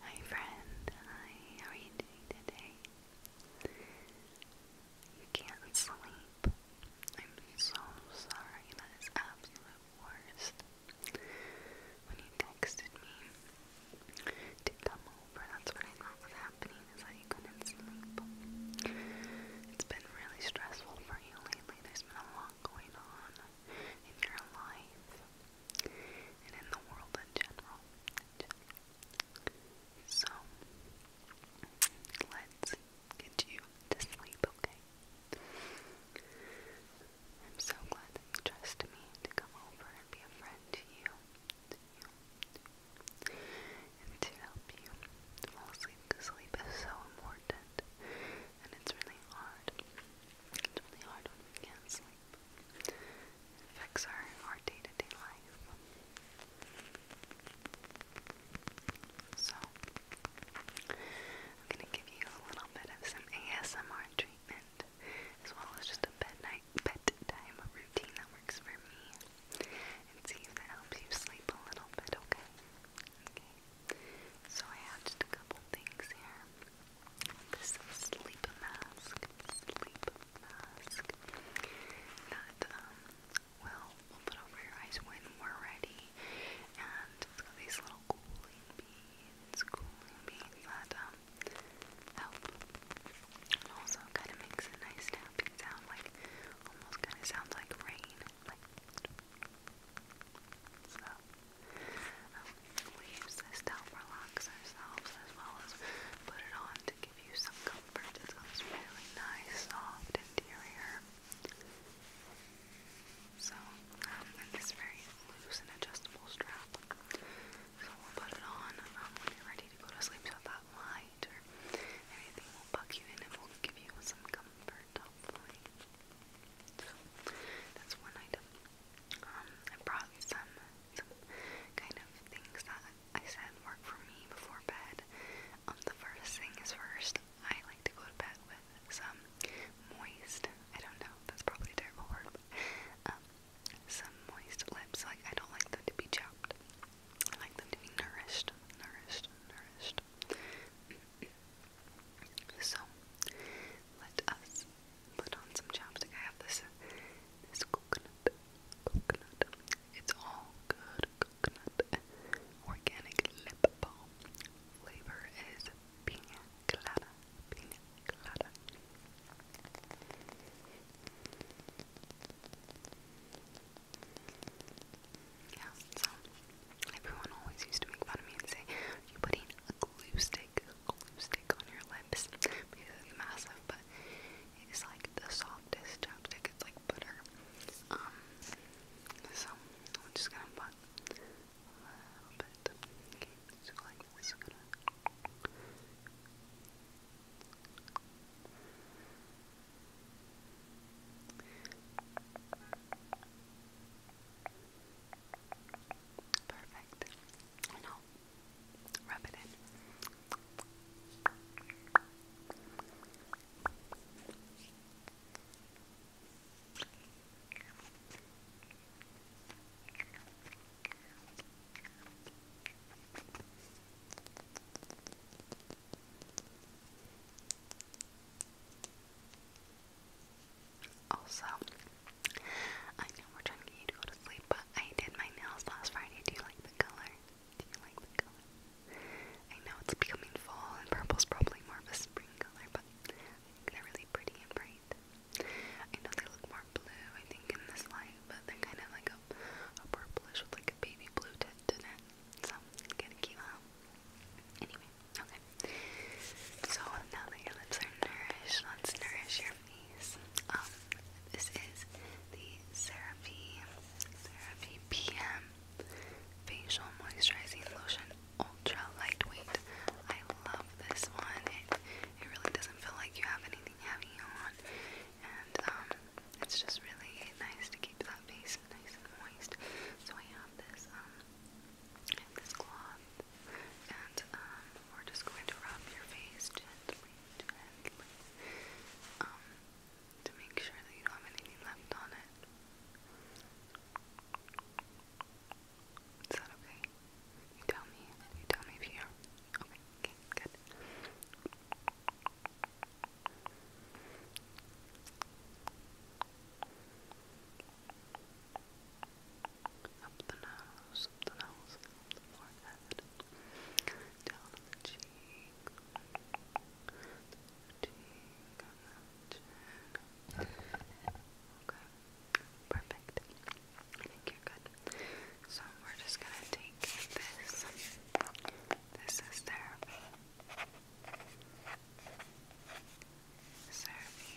Hi friend, hi, how are you doing today? You can't sleep. I'm so sorry, that is absolute worst. When you texted me to come over, that's what I thought was happening, is that you couldn't sleep. It's been really stressful for you lately, there's been a lot going on in your life and in the world in general. So, let's get you to sleep, okay? I'm so glad that you trust me to come over and be a friend to you, to you, and to help you fall asleep sleep is so important and it's really hard. It's really hard when we can't sleep affects our, our day to day life. So, I'm going to give you a little bit of some ASMR treatment as well as just a bed night, bedtime routine that works for me and see if that helps you sleep a little bit, okay? Okay. So, I have just a couple things here this sleep mask, sleep mask that um, will we'll put over your eyes when we're ready. And it's got these little cooling beads, cooling beads that um, help. And also kind of makes a nice tapping sound, like almost kind of sounds like rain. Like, so, we use this to help relax ourselves as well as put it on to give you some comfort. It feels really nice, soft interior. So, um, and it's very loose and adjustable strap. So we'll put it on um, when you be ready to go to sleep so that light or anything will bug you in and it will give you some comfort, hopefully. So, that's one item. Um, I brought some some kind of things that I said work for me before bed. Um, the first thing is first, I like to go to bed with some moist, I don't know, that's probably a terrible word, but, um, some moist lips, like, I don't like them to be chopped. I like them to be nourished, nourished, nourished. so, let us Put on some chapstick. I have this this coconut, coconut. It's all good coconut organic lip balm. Flavor is pina colada, pina colada. Yeah, so everyone always used to make fun of me and say, "Are you putting a glue stick glue stick on your lips it's massive, but it's like the softest chapstick. It's like butter. Um, so I'm just gonna put a little bit. Okay, like this. gonna Perfect. And I'll rub it in. Okay. Also, I know we're trying to get you to go to sleep, but I did my nails last Friday. Do you like the color? Do you like the color? I know it's becoming fall, and purple's probably more of a spring color, but they're really pretty and bright. I know they look more blue, I think, in this light, but they're kind of like a, a purplish with like a baby blue tint in it. So, gotta keep up. Um, anyway, Okay. So now that your lips are nourished, let's nourish your face. Um, this is the Cerave Cerave PM Facial Moisturizing Lotion, ultra lightweight. I love this one. It it really doesn't feel like you have anything heavy on, and um, it's just really nice to keep that face nice and moist. So I have this um, and this cloth, and um, we're just going to rub your face gently, gently, um, to make sure that you don't have anything left on it. Is that okay? You tell me. You tell me if you're okay. good. Okay, up the nose, the nose, the forehead, down the cheek, cheek, on the chin. Okay, perfect. I think you're good. So we're just gonna take this. This is therapy. Serby. Okay,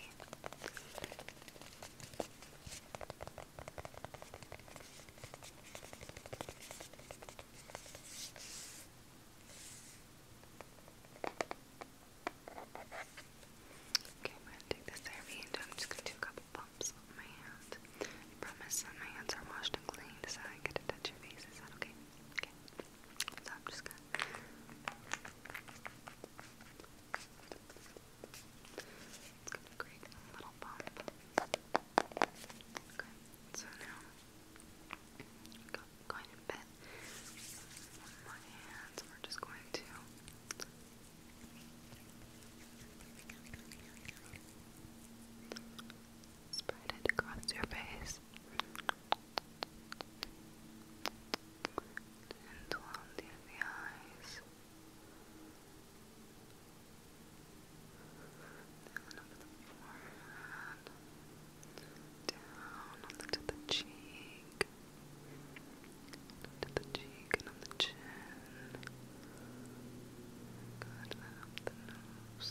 I'm going to take and I'm just going to do a couple bumps on my hand. promise that my hands are washed and clean so I get to touch your face. Is that okay? Okay. So I'm just going to. It's going so now go, going to bed with my hands. We're just going to spread it across your face and round in the eyes. Down over the forehead, down onto the cheek, onto the cheek and on the chin. Good, then up the nose,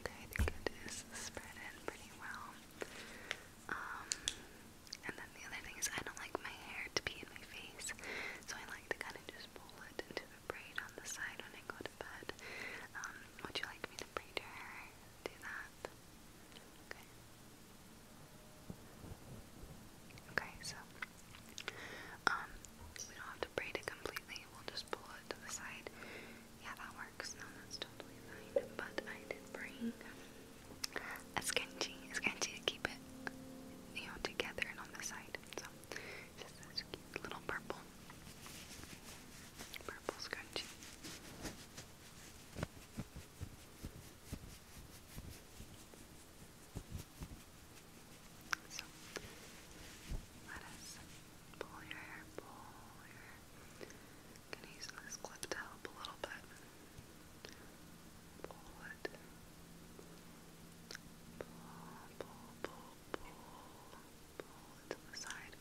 Okay. I think it is spread in pretty well. Um, and then the other thing is I don't like my hair to be in my face, so I like to kind of just pull it into a braid on the side when I go to bed. Um, would you like me to braid your hair? Do that. Okay. Okay, so um, we don't have to braid it completely, we'll just pull it to the side. Yeah, that works. No, that's totally fine. But I did bring a scrunchie. A scrunchie to keep it, you know, together and on the side. So, just this little purple, purple scrunchie. So let us pull your hair, pull your hair. gonna use this clip to help a little bit. Pull it. Pull, pull, pull, pull. Pull it to the side,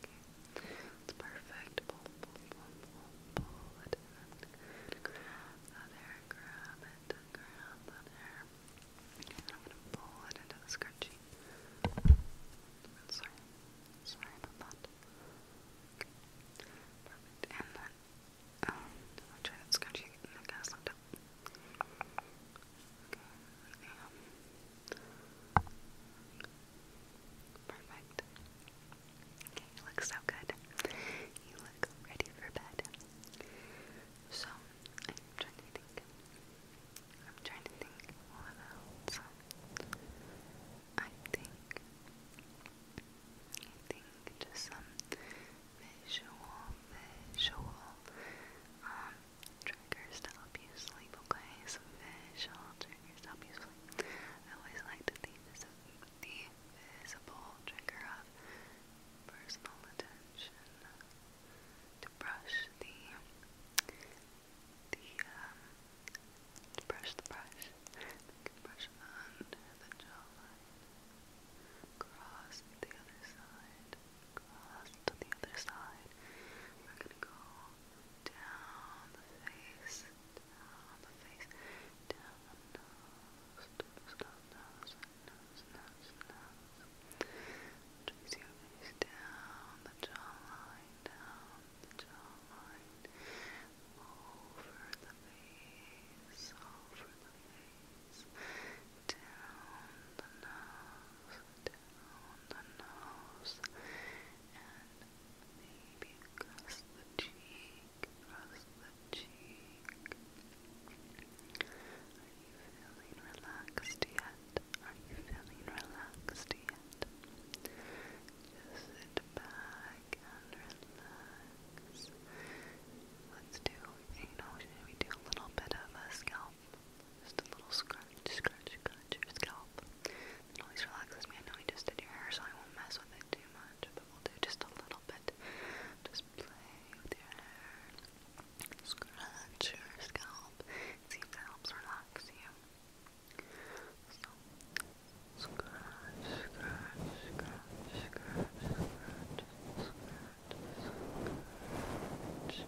okay? It's perfect. Pull, pull, pull, pull, it. And then grab grab it, grab that hair. I'm gonna pull it into the scrunchie. Sorry, sorry about that. Perfect. And then, um, I'll try that scrunchie and the gas left up. Um, perfect. You look so good. You look ready for bed. So, I'm trying to think. I'm trying to think what else. I think. I think just some visual, visual um, triggers to help you sleep, okay? Some visual triggers to help you sleep. I always like to think of the visible trigger of personal attention to brush the the um, to brush the brush. You can brush under the jawline. Cross the other side. Cross to the other side. We're gonna go down the face. Down the face. Down the nose. Down the nose nose, nose, nose, nose. Trace your face down the jawline, down the jawline, over the face, over the face, down the nose, down the nose, and maybe across the cheek. Are you feeling relaxed yet? Are you feeling relaxed yet? Just sit back and relax. Let's do, you know, we do a little bit of a scalp? Just a little scratch, scratch, scratch your scalp. always relaxes me. I know we just did your hair, so I won't mess with it too much, but we'll do just a little bit just play with your hair. Scratch your scalp. See if that helps relax you. So, scratch, scratch, scratch, scratch, scratch, scratch, scratch. Good.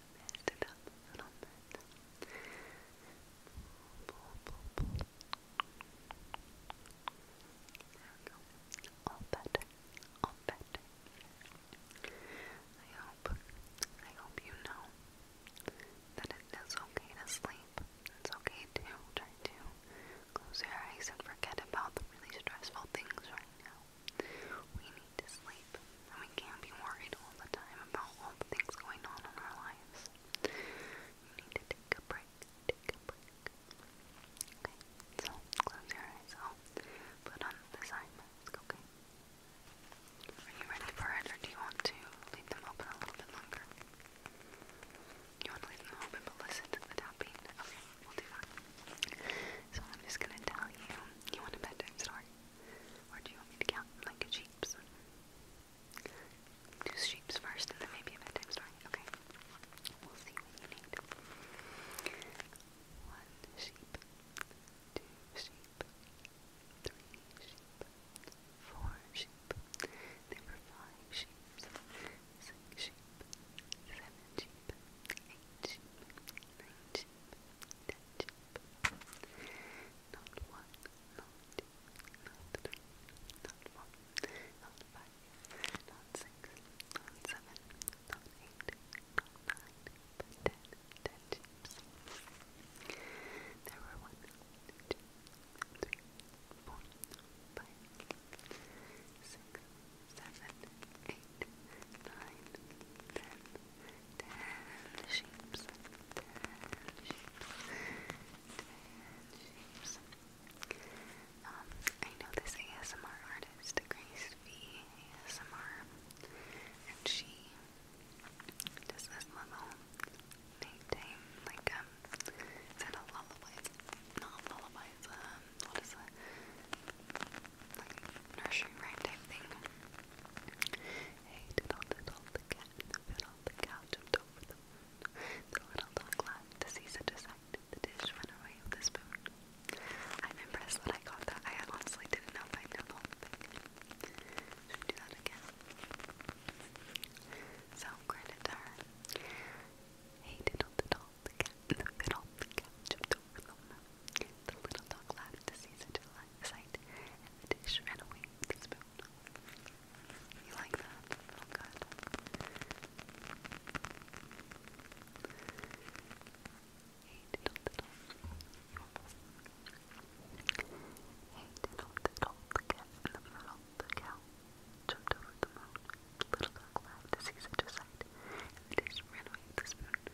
all better. All better. I hope, I hope you know that it is okay to sleep. It's okay to try to close your eyes and forget about the really stressful things right now we need to sleep, and we can't be worried all the time about all the things going on in our lives. You need to take a break, take a break. Okay, so close your eyes. i oh, put on the side mask, okay? Are you ready for it, or do you want to leave them open a little bit longer? You want to leave them open but listen to the tapping? Okay, we'll do that. So I'm just gonna tell you. You want a bedtime story? Or do you want me to count like a sheep's? Do sheep's first and then maybe a bedtime story. Okay. We'll see what you need. One sheep, two sheep, three sheep, four sheep, there five sheep, six sheep, seven sheep, eight sheep, nine sheep, Ketchup. Not one, not two, not three, not four, not five, not six, not seven, not eight, not nine, There were one, two, three, four, five, six, seven, eight, nine, ten, ten sheeps, ten sheeps, ten Um, I know this ASMR artist, Grace V ASMR, and she does this little nighttime, like, um, is that a lullaby? It's not lullabies, uh, what is it? Like nursery rhyme type thing. Hey, diddle diddle the cat in the cow jumped over the little dog laughed to see such a sight. The dish went away with a spoon. I'm impressed that I got that. I honestly didn't know if I knew the whole Should do that again? So, credit to her. Hey, diddle diddle, the cat in the middle. The cat jumped over Lona. The little dog laughed to see such a sight, and the dish ran away with the spoon. You like that? Oh, good. Hey, diddle, diddle. Hey, diddle, diddle. The cat in the middle. The cow jumped over the moon. The little dog laughed to see such a sight, and the dish ran away with the spoon.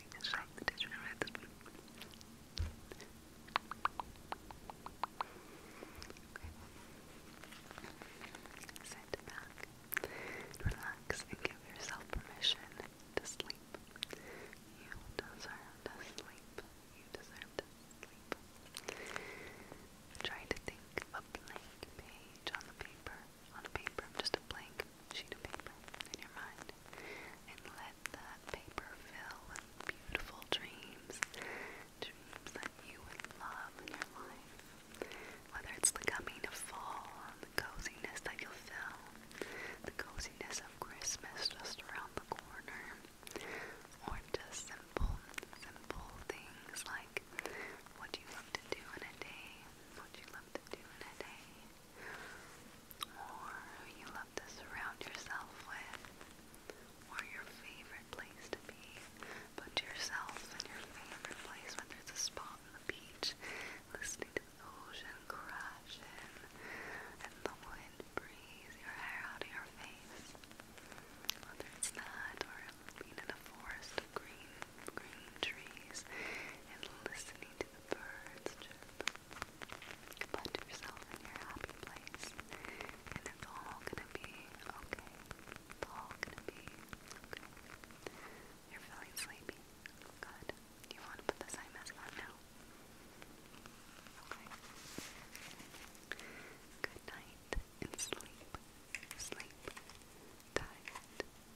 I should have Sit back, relax, and give yourself permission to sleep. You deserve to sleep. You deserve to sleep. Try to think of a blank page on the paper on paper, just a blank sheet of paper in your mind, and let that paper fill with beautiful dreams, dreams that you would love in your life. Whether it's the coming of fall, the coziness that you'll feel, the coziness of Christmas just around the corner, or just simple, simple things like what you love to do in a day, what you love to do in a day, or who you love to surround yourself with, or your favorite place to be. Put yourself in your favorite place, whether it's a spot on the beach, listening to the ocean crash in, and the wind breeze your hair out of your face. Whether it's that, or being in a forest of green, green trees, and listening to birds chirp. Put yourself in your happy place, and it's all gonna be okay. It's all gonna be okay. You're feeling sleepy? Good. you want to put this eye mask on now? Okay. Good night and sleep. Sleep. Tight.